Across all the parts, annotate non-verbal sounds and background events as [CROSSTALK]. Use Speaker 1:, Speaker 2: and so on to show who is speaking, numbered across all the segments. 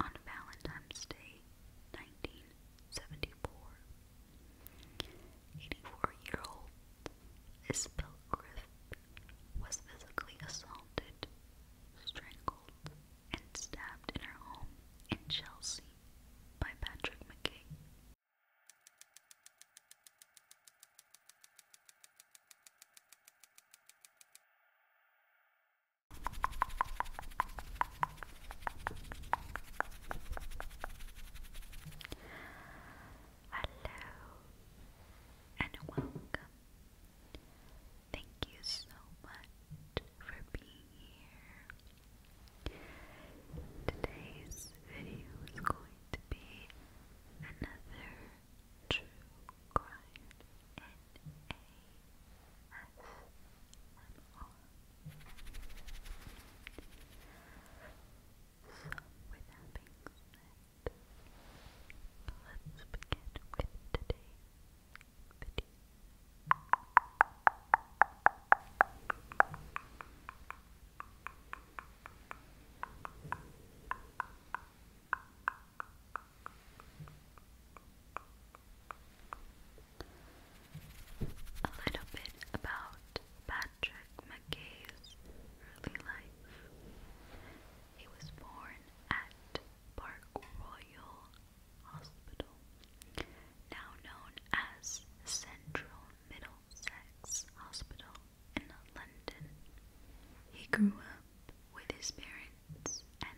Speaker 1: on Valentine's Day, 1974. 84-year-old Isabel Griffith was physically assaulted, strangled, and stabbed in her home in Chelsea by Patrick McKay. Hello and welcome. Thank you so much for being here. Today's video is going to be another true crime in a with that being said, let's begin with today's video. A little bit about Patrick McKay's early life. He was born at Park Royal Hospital, now known as Central Middlesex Hospital in London. He grew up with his parents and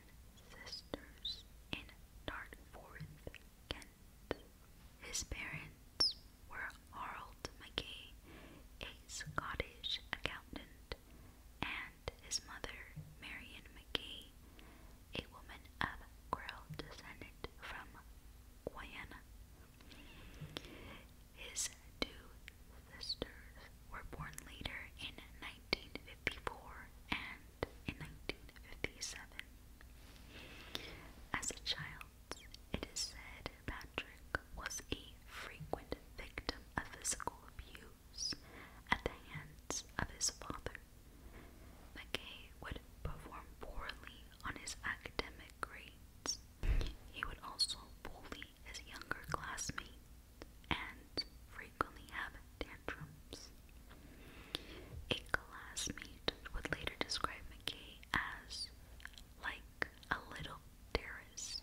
Speaker 1: sisters in Dartforth, Kent. His parents were Harold Mackay, a Scottish accountant, and his mother, Marion Mackay, a woman of Creole descent from Guyana. His two sisters were born later in 1954 and in 1957. As a child, it is said Patrick was a frequent victim of physical abuse at the hands of his father. McKay would perform poorly on his academic grades. He would also bully his younger classmate and frequently have tantrums. A classmate would later describe McKay as like a little terrorist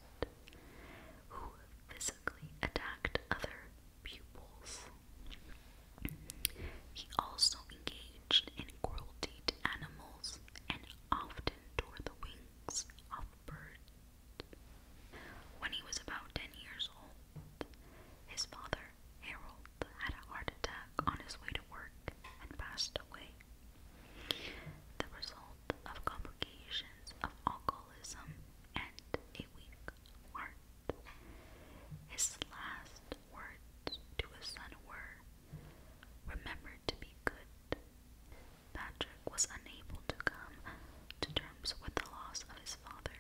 Speaker 1: who physically attacked other pupils. He also engaged in cruelty to animals and often tore the wings of birds. When he was about ten years old, his father, Harold, had a heart attack on his way to work and passed away. The result of complications of alcoholism and a weak heart. His last words to his son were, Remember to be good. Patrick was unable to come to terms with the loss of his father.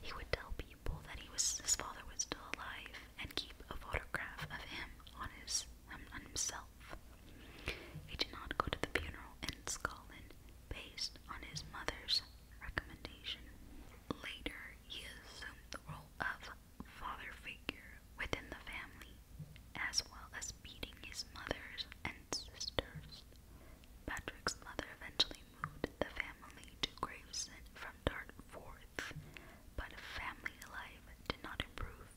Speaker 1: He would tell people that he was his father was still alive and keep a photograph of him on his um, on himself. He did not go to the funeral in Scotland based on his mother's recommendation. Later, he assumed the role of father figure within the family, as well as beating his mother's and and Patrick's mother eventually moved the family to Gravesend from Dartforth, but family life did not improve,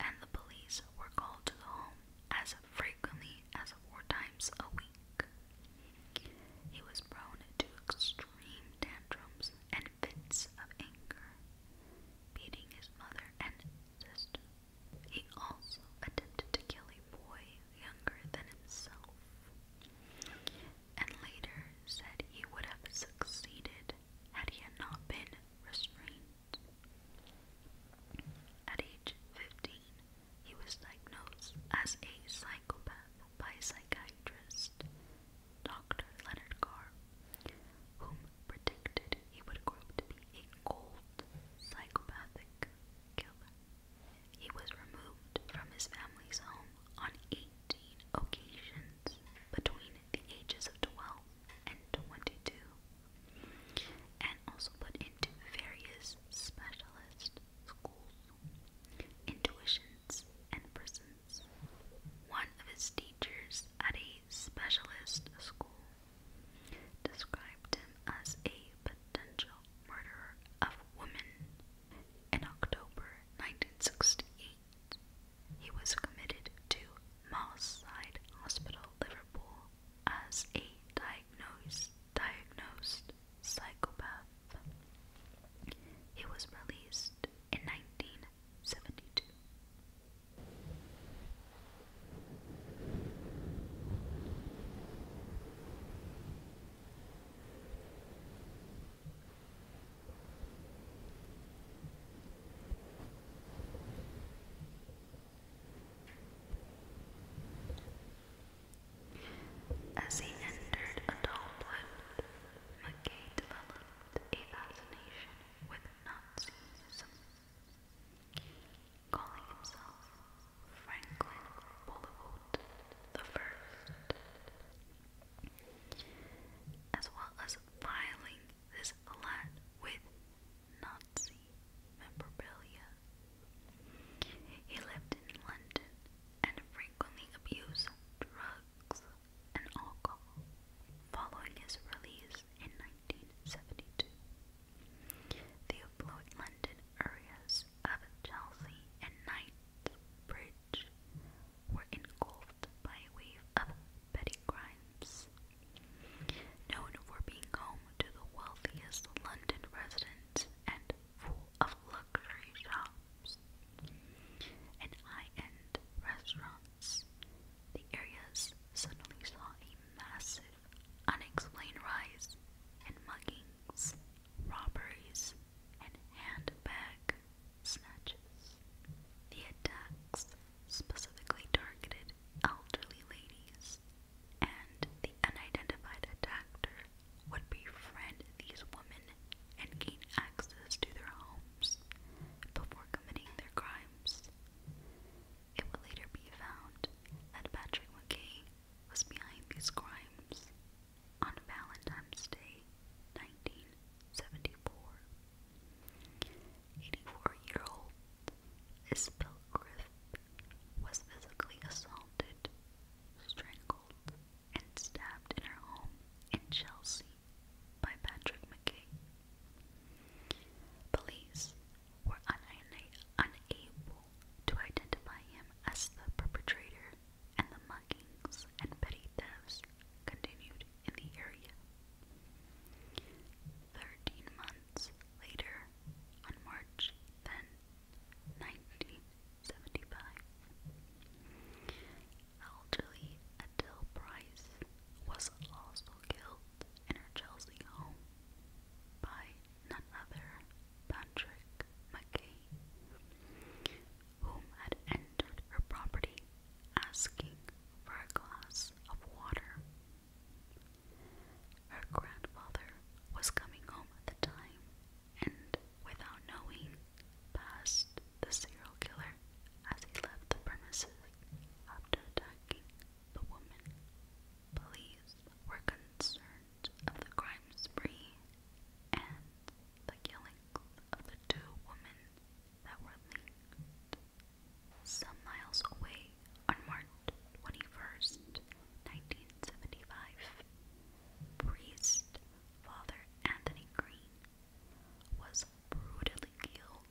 Speaker 1: and the police were called to the home as frequently as four times a week. He was prone to extreme tantrums and fits of anger, beating his mother and sister. He also attempted to kill a boy younger than himself, and later said he would have succeeded had he had not been restrained. At age 15, he was diagnosed as a psychopath by psychiatrist Dr. Leonard Carr, whom predicted that he would grow to be a cold, psychopathic killer. He was removed from his family's home on 18 occasions between the ages of 12 and 22, and also put into various specialist schools, intuitions, and prisons. One of his teachers at a specialist school described him as a potential murderer of women. In October 1968, he was committed to Moss Hospital, Liverpool, as a diagnosed, diagnosed psychopath. He was released in 1972. As he entered adulthood, McKay developed a fascination with Nazism calling himself Franklin Bollywood the First, as well as filing this alliance with Nazi memorabilia. He lived in London and frequently abused drugs and alcohol. Following his release in 1972, the affluent London areas of Chelsea and Knightsbridge were engulfed by a of petty crimes. Known for being home to the wealthiest London residents and full of luxury shops and high-end restaurants, the areas suddenly saw a massive unexplained rise in muggings, robberies, and handbag snatches. The attacks specifically targeted elderly ladies, and the unidentified attacker would befriend these women and gain access to their homes before committing their crimes. It would later be found that Patrick McKay was behind these crimes on Valentine's Day, 1974. 84-year-old Isabel Griffith was physically assaulted, strangled, and stabbed in her home in Chelsea by Patrick McKay. Police were unable to identify him as the perpetrator, and the muggings and petty thefts continued in the area. Thirteen months later, on March 10, 1975, Elderly Adele Price was also killed in her Chelsea home by none other Patrick McKay, whom had entered her property asking for a glass of water. Her grandfather was coming home at the time and, without knowing, passed the serial killer as he left the premises after attacking the woman. Police were concerned of the crime spree and the killings of the two women that were linked. Some miles away on March 21st, 1975, priest Father Anthony Green was brutally killed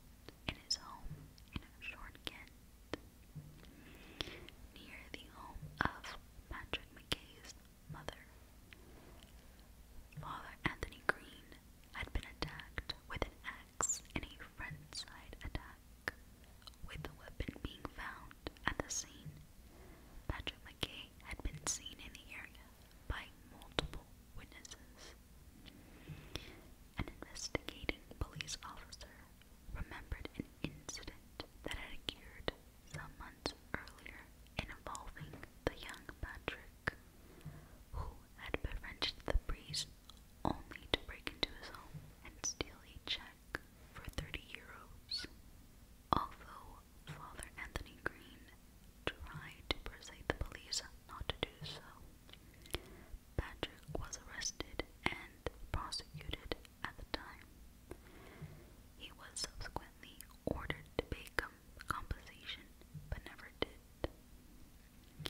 Speaker 1: in his home in Short Kent, near the home of Patrick McKay's mother. Father Anthony Green had been attacked with an axe in a frontside attack, with the weapon being found at the scene. Patrick McKay had been seen in the area by multiple witnesses. An investigating police officer remembered an incident that had occurred some months earlier involving the young Patrick, who had been wrenched the breeze only to break into his home and steal a check for 30 euros. Although Father Anthony Green tried to persuade the police not to do so, Patrick was arrested and prosecuted at the time. He was subsequently ordered to pay com compensation, but never did.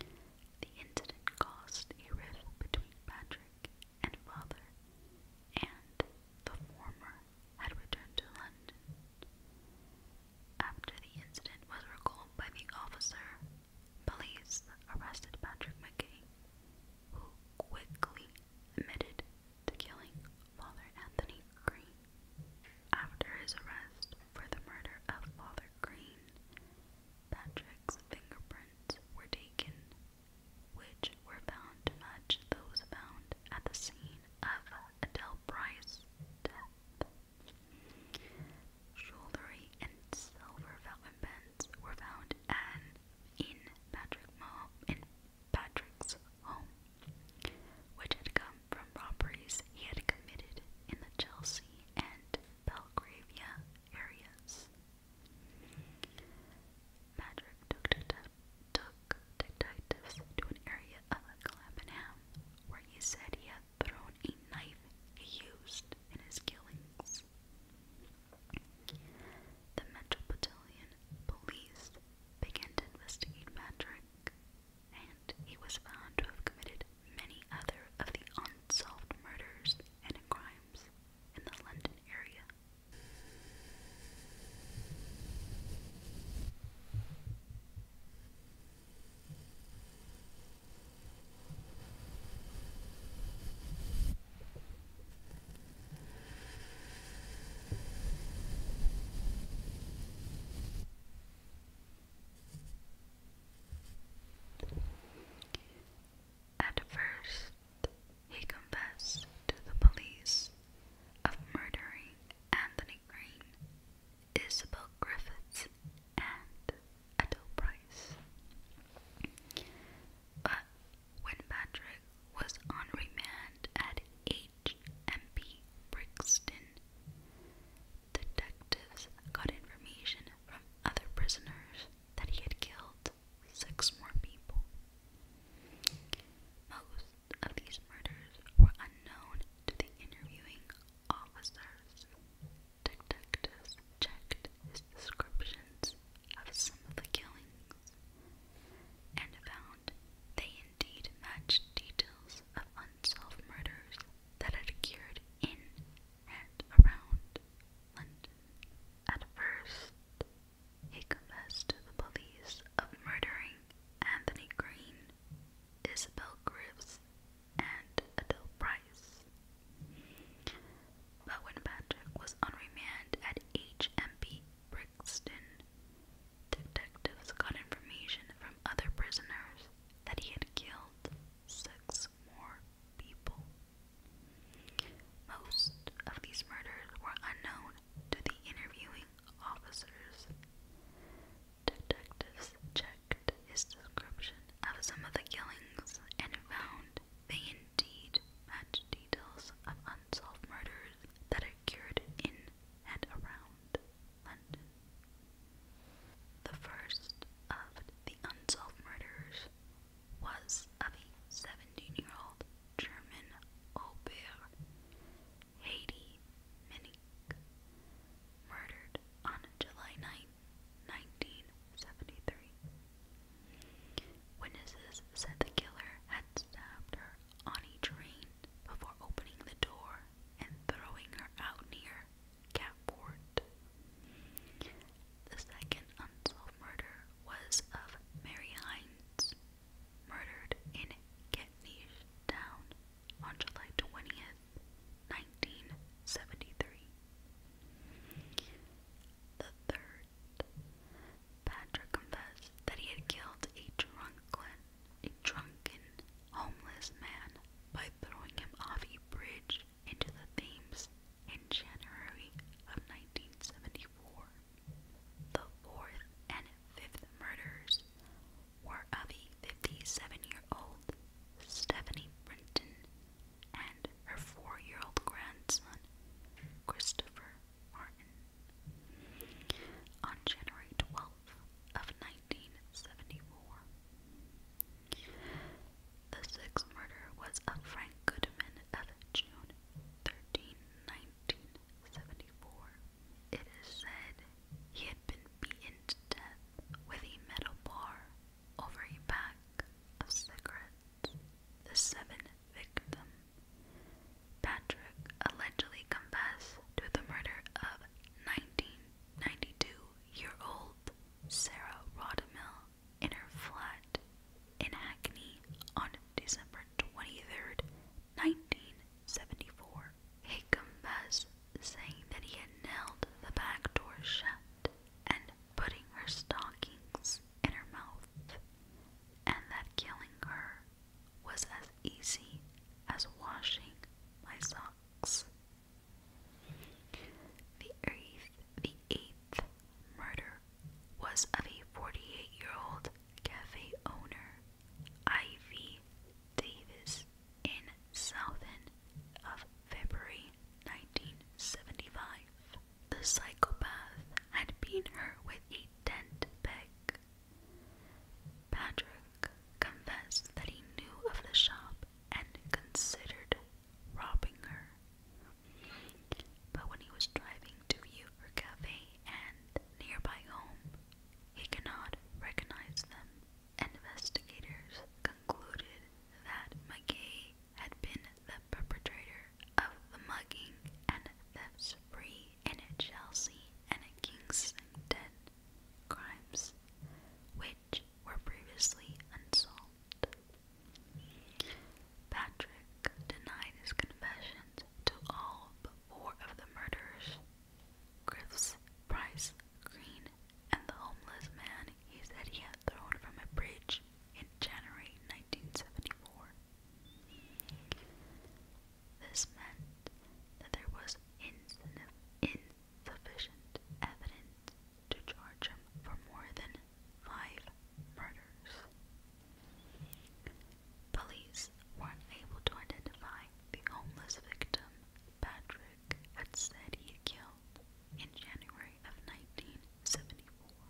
Speaker 1: The incident caused a rift between Patrick and father, and the former had returned to London. After the incident was recalled by the officer Police arrested Patrick McGee, who quickly admitted to killing Father Anthony Green. After his arrest for the murder of Father Green, Patrick's fingerprints were taken, which were found to match those found at the scene of Adele Price's death. Jewelry and silver fountain pens were found and in Patrick Mo in Patrick's home, which had come from robberies he had committed in the Chelsea and Belgravia areas. Patrick took detectives to an area of Clapham where he said he had thrown a knife he used in his killings. The Metropolitan Police began to investigate Patrick, and he was found to have committed many other of the unsolved murders and crimes in the London area. At he confessed to the police of murdering Anthony Green Isabel Griffiths and Ethel Price. But uh, when Patrick was on remand at H.M.P. Brixton, detectives got information from other prisoners that he had killed six more people. Most of these murders were unknown to the interviewing officers detectives checked his descriptions of some of the killings and found they indeed matched details of unsolved murders that had occurred in and around London. At first, he confessed to the police of murdering Anthony Green, Isabel Griffiths, and Adele Price. But when Patrick was on remand at HMP Brixton, detectives got information from other prisoners that he had killed six more people. Most of these murders were unknown to the interviewing officers. Detectives checked his description of some of the killings and found they indeed matched details of unsolved murders that occurred in and around London. The first of the unsolved murders was of a 17 year old German au pair, Heidi Minnick, murdered on July 9, 1973. Witnesses said the killer had stabbed her on a train before opening the door and throwing her out near Catport. The second unsolved murder was of Mary Hines, murdered in Ketnish Town on July 20th, 1973. The third, Patrick confessed that he had killed a drunken, a drunken, homeless man by throwing him off a bridge into the Thames in January of 1974. The fourth and fifth murders were of 57-year-old Stephanie Brinton and her four-year-old grandson, Christopher Martin. On January 12th of 1974, the sixth murder was of Frank Goodman of June 13, It is said he had been beaten to death with a metal bar over a pack of cigarettes. The seventh victim, Patrick, allegedly confessed to the murder of 1992-year-old Sarah Rodamill in her flat in Hackney on December 23, 1974. He confessed saying that he had nailed the back door shut and putting her stockings in her mouth, and that killing her was as easy as washing my socks. The eighth, the eighth murder was of a 48-year-old cafe owner, Ivy Davis, in southern of February 1975. The psychopath had been hurt with a tent peg. Patrick confessed that he knew of the shop and considered robbing her. But when he was driving to her cafe and nearby home, he cannot recognize them. Investigators concluded that McKay had been the perpetrator of the mugging and the spree in Chelsea and Kingston crimes, which were previously unsolved. Patrick denied his confessions to all but four of the murders Griff's Price Green and the homeless man he said he had thrown from a bridge in January 1974. This meant that there was insufficient evidence to charge him for more than five murders. Police were unable to identify the homeless victim, Patrick had said he killed in January of 1974.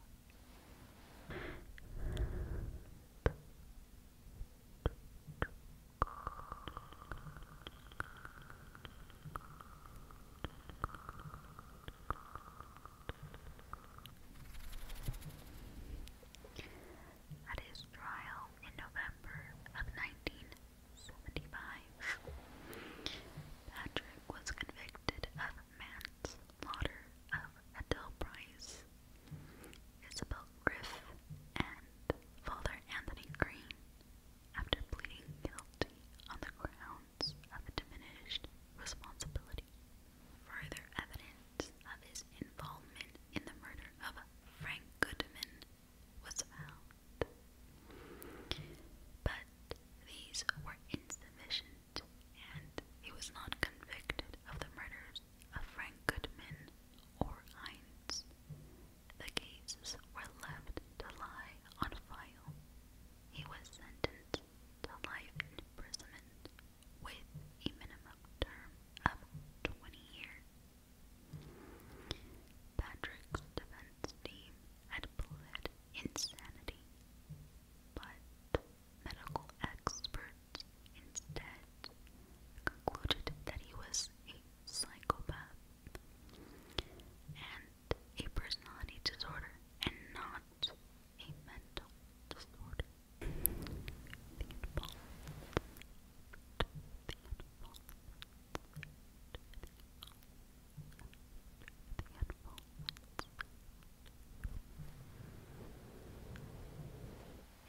Speaker 1: At his trial in November of 19 1775. Patrick was convicted of manslaughter of Adele Price, Isabel Griff, and Father Anthony Green after pleading guilty on the grounds of a diminished responsibility. Further evidence of his involvement in the murder of Frank Goodman was found. But these were insufficient, and he was not convicted of the murders of Frank Goodman or Hines. The cases were left to lie on file. He was sentenced to life imprisonment with a minimum term of 20 years. Patrick's defense team had pled insanity, but medical experts instead concluded that he was a psychopath and a personality disorder and not a mental disorder. Beautiful. Beautiful.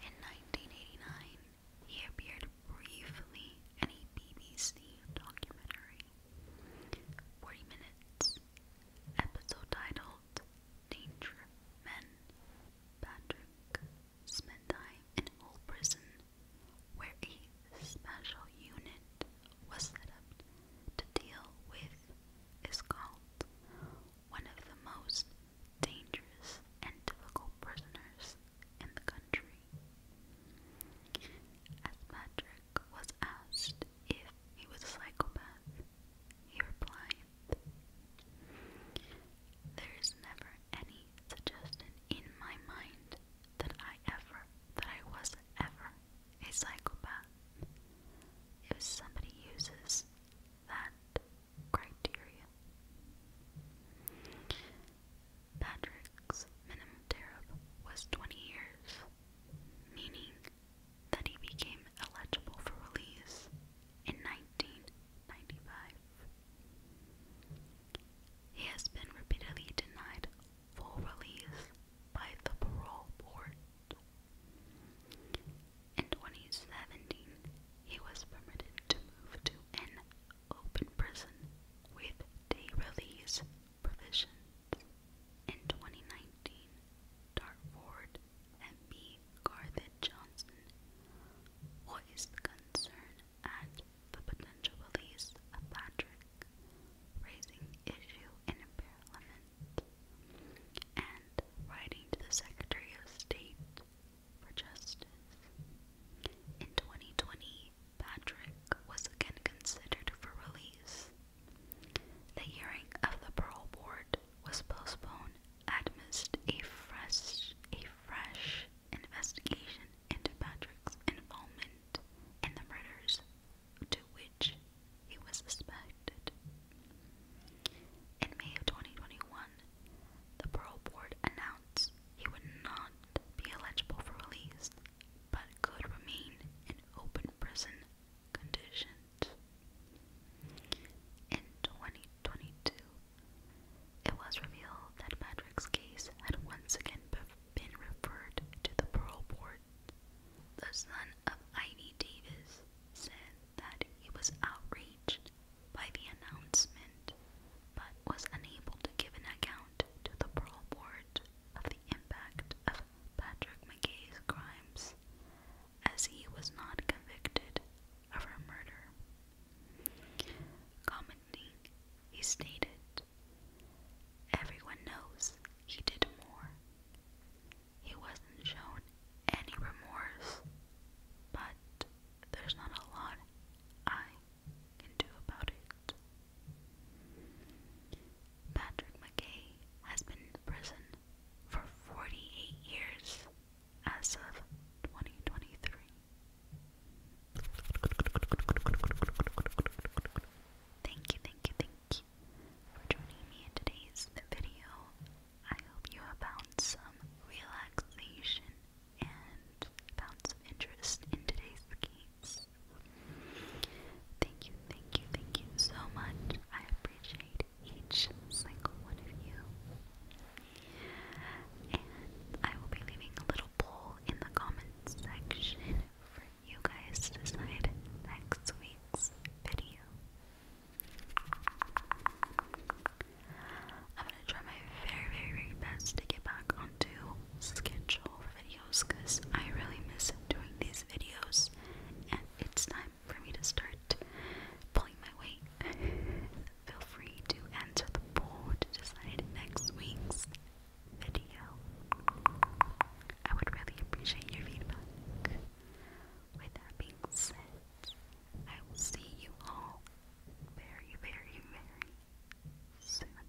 Speaker 1: In 1989, he appeared briefly in a BBC documentary, 40 Minutes, episode titled Danger Men Patrick spent time in Hull Prison, where a special unit was set up to deal with is called one of the most dangerous and difficult prisoners in the country. As was asked if he was a psychopath, he replied, There is never any suggestion in my mind that I ever, that I was ever a psychopath. If somebody uses that criteria, Patrick's minimum tariff was 20 years, meaning that he became eligible for release in 19 he has been repeatedly denied full release by the parole board. In 2017, he was permitted to move to an open prison with day release provisions. In 2019, Dartford MP Garth Johnson voiced concern at the potential release Patrick, raising issue in Parliament, and writing to the Secretary of State for Justice. In 2020, Patrick was again considered for release. The hearing of the parole board was postponed amidst a fresh, a fresh investigation into Patrick's involvement in the murders to which he was suspected. In May of 2021, the parole board announced he would not be eligible for release but could remain in open prison conditions. In 2022, it was revealed that Patrick's case had once again been referred to the parole board. The son of Ivy Davis said that he was outraged by the announcement, but was unable to give an account to the parole board of the impact of Patrick McKay's crimes, as he was not convicted of a murder. Commenting, he stated, Everyone knows he did more. He wasn't shown any remorse, but there's not a lot I can do about it. Patrick McKay has been in prison for 48 years as of 2023. Thank you, thank you, thank you for joining me in today's video. I hope you found some relaxation and found some interest in today's games. Thank you, thank you, thank you so much. I appreciate each single one of you. I will be leaving a little poll in the comments section for you guys to decide next week's video. I'm gonna try my very, very, very best to get back onto schedule for videos because I really miss doing these videos, and it's time for me to start pulling my weight. [LAUGHS] feel free to enter the poll to decide next week's video. I would really appreciate your feedback. With that being said, I will see you all very, very, very soon.